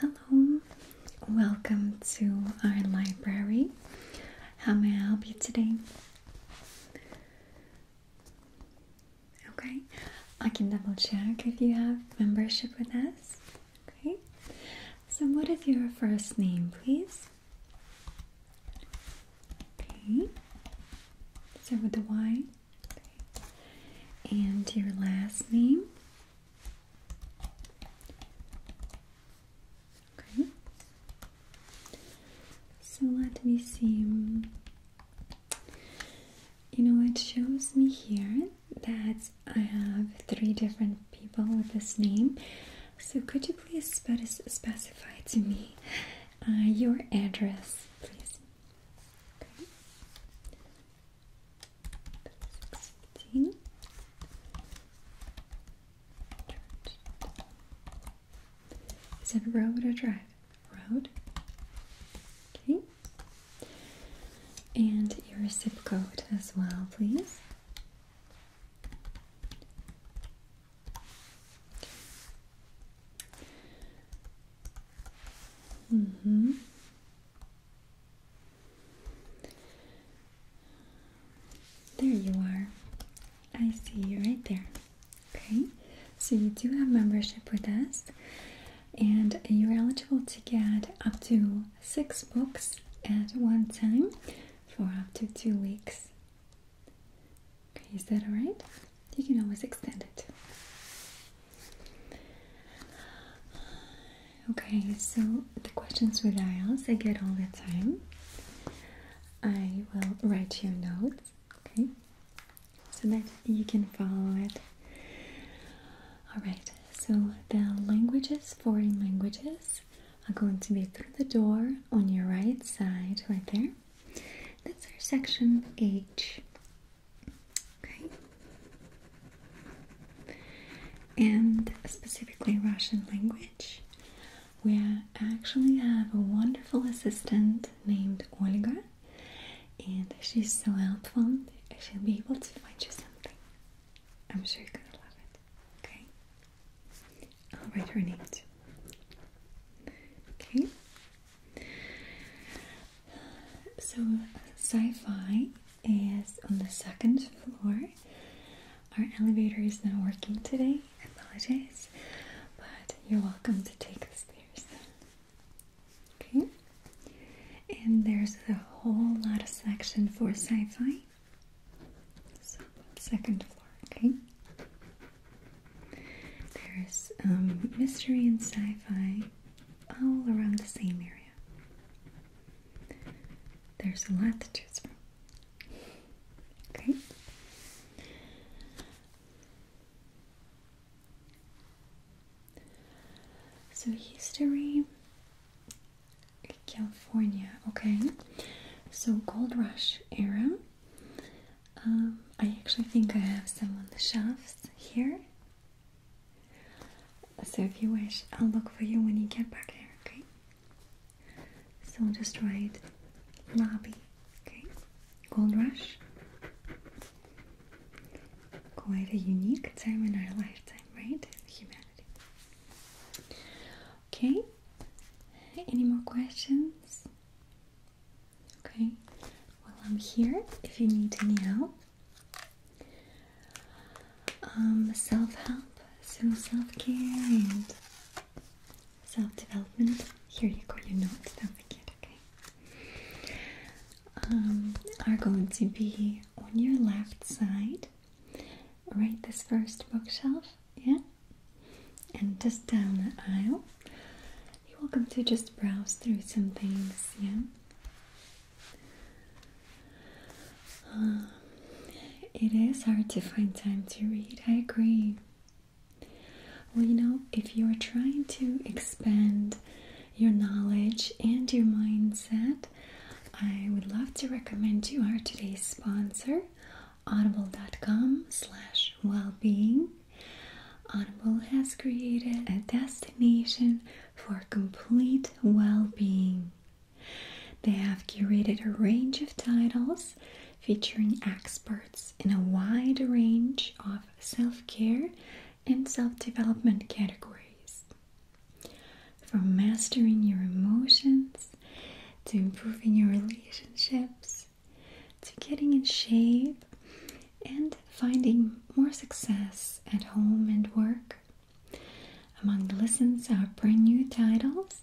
Hello, welcome to our library. How may I help you today? Okay, I can double check if you have membership with us. Okay, so what is your first name, please? Okay, so with the Y, okay. and your last name. Okay. So let me see. You know, it shows me here that I have three different people with this name. So could you please specify to me uh, your address, please? Is it road or drive? Road. Okay. And your zip code as well, please. Mm-hmm. There you are. I see you right there. Okay, so you do have membership with us, and you're eligible to get up to six books at one time for up to two weeks. Okay, is that alright? You can always extend it. Okay, so the questions with IELTS I get all the time. I will write you a note okay so that you can follow it all right so the languages foreign languages are going to be through the door on your right side right there that's our section h okay and specifically russian language we actually have a wonderful assistant named Olga, and she's so helpful. She'll be able to find you something. I'm sure you're gonna love it. Okay, I'll write her name too. Okay. So, sci fi is on the second floor. Our elevator is not working today, Apologies, but you're welcome to take the stairs. Okay, and there's a whole lot of section for sci-fi. So second floor. Okay, there's um, mystery and sci-fi all around the same area. There's a lot to choose from. Okay. So history California, okay. So gold rush era. Um, I actually think I have some on the shelves here. So if you wish, I'll look for you when you get back there, okay? So just write lobby, okay? Gold rush. Quite a unique time in our lifetime, right? Humanity. Okay. Any more questions? Okay. Well, I'm here if you need any help. Um, self help, so self care and self-development. Here you go, your notes. down the be okay? Um, are going to be on your left side, right this first bookshelf, yeah? And just down the aisle. You're welcome to just browse through some things, yeah? Um, it is hard to find time to read, I agree. Well, you know, if you're trying to expand your knowledge and your mindset, I would love to recommend you our today's sponsor, audible.com slash well-being. Audible has created a destination for complete well-being. They have curated a range of titles featuring experts in a wide range of self care and self development categories. From mastering your emotions to improving your relationships to getting in shape and finding more success at home and work. Among the lessons are brand new titles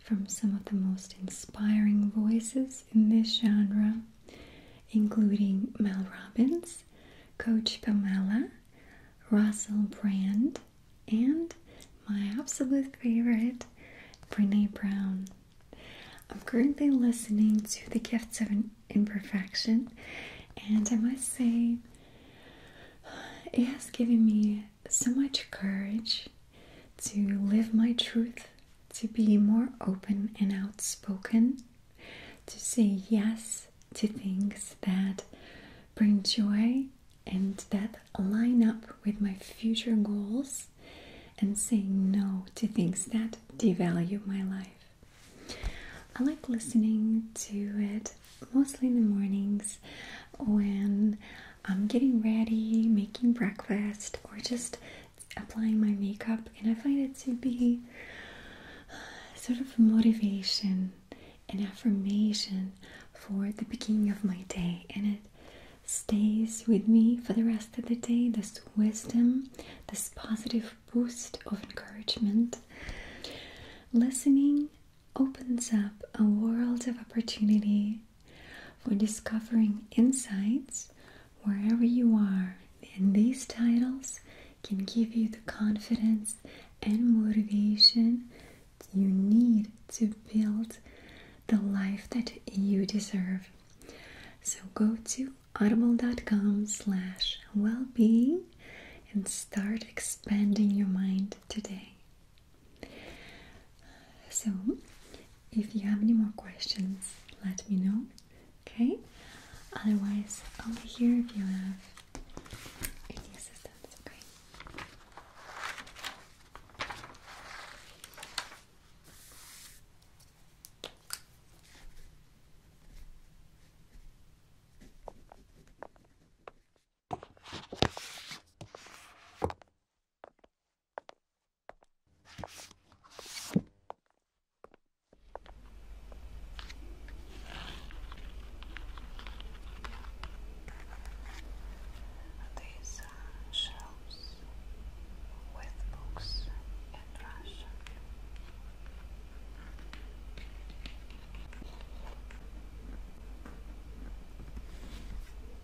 from some of the most inspiring voices in this genre, including Mel Robbins, Coach Pamela, Russell Brand, and my absolute favorite, Brene Brown. I'm currently listening to The Gifts of Imperfection, and I must say, it has given me so much courage to live my truth, to be more open and outspoken, to say yes to things that bring joy and that line up with my future goals, and say no to things that devalue my life. I like listening to it mostly in the mornings when I'm getting ready, making breakfast, or just applying my makeup. And I find it to be uh, sort of motivation and affirmation for the beginning of my day. And it stays with me for the rest of the day this wisdom, this positive boost of encouragement. Listening opens up a world of opportunity for discovering insights wherever you are. And these titles can give you the confidence and motivation you need to build the life that you deserve. So go to audible.com slash well-being and start expanding your mind today. So, if you have any more questions, let me know. Okay? Otherwise, i here if you have any assistance. Okay? These are uh, shelves with books in Russian.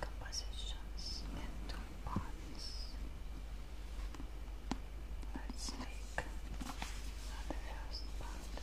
compositions into parts. Let's take the first part.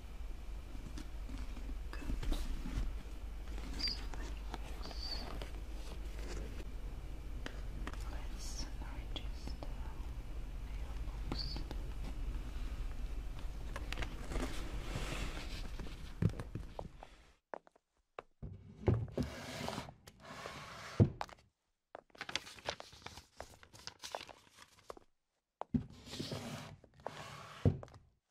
Let's register mailbox.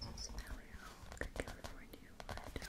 this is Valley Oak, California, Red Oak.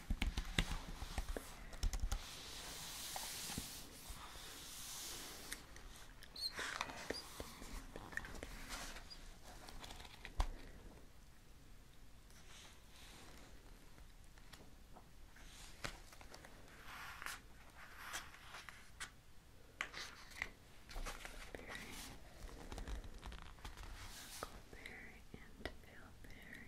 Huckleberry and Philberry.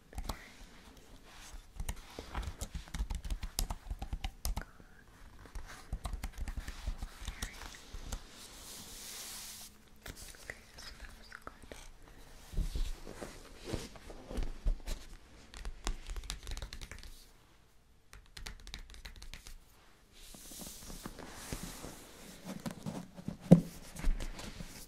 Okay, so that was good. Okay,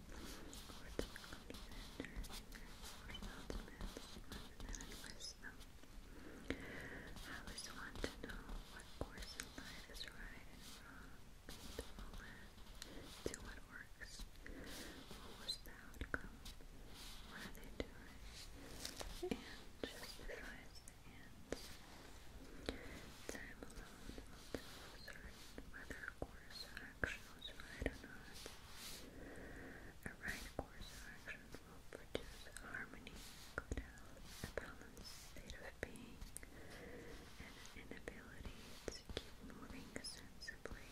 I always want to know what course in life is right and wrong, to follow to what works. What was the outcome? What are they doing? And justifies the Time alone will tell whether course of action was right or A right course action will produce harmony, good health, a balanced state of being, and an inability to keep moving sensibly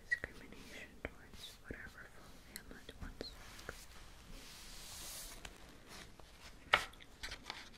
discrimination towards whatever full ailment one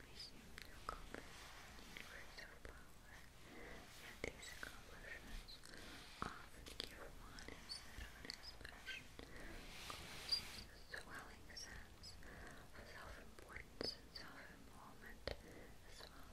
resumed their compass universal power, and these accomplishments often give one instead of expression a swelling sense of self-importance and self-involvement as well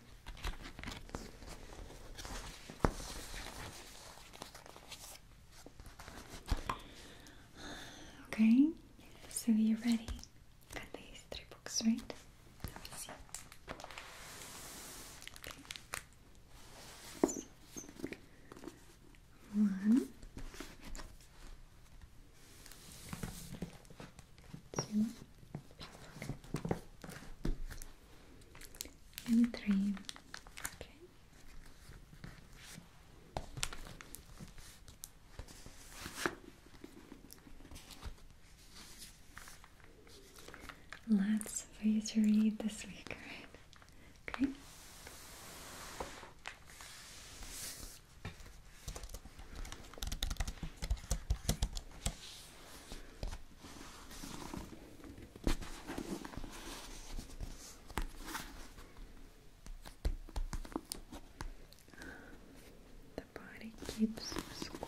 Okay, so you're ready. Got these three books, right? Let and three. Okay. Lots for you to read this week, right? Okay. The body keeps score.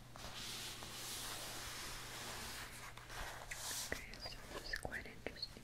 Okay, so this is quite interesting.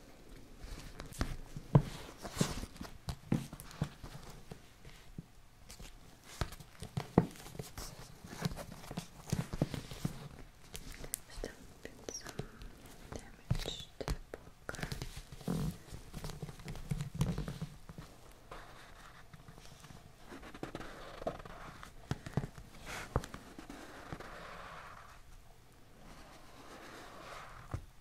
Still been some damage to the book.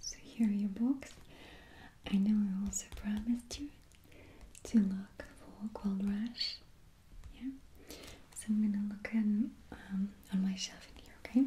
so here are your books. I know I also promised you to look for Gold Rush. Yeah? So I'm gonna look in, um, on my shelf here, okay?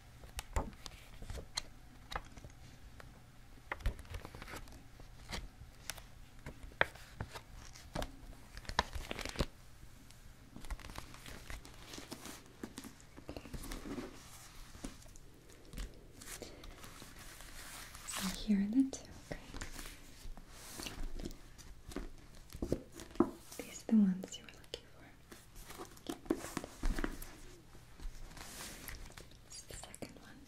here are the two, These are the ones you were looking for. That's the second one.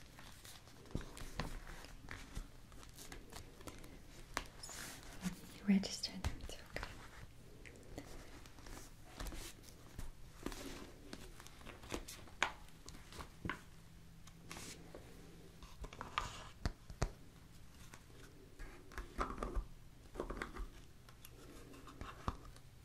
So you it's Okay.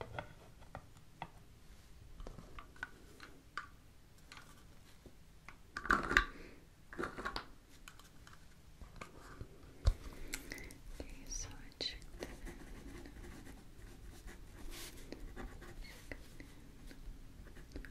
Okay, so I checked that in. Check it in. Check it in.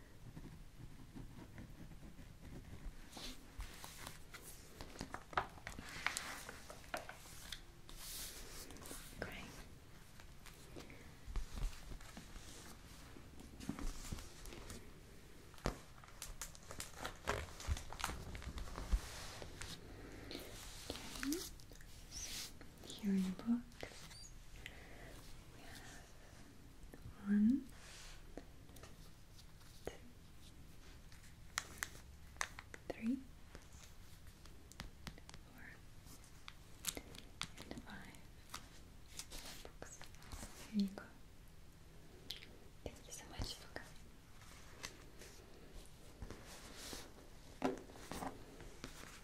Great. Okay. here in the one, two, three, four, and five books. Here you go. Thank you so much for coming.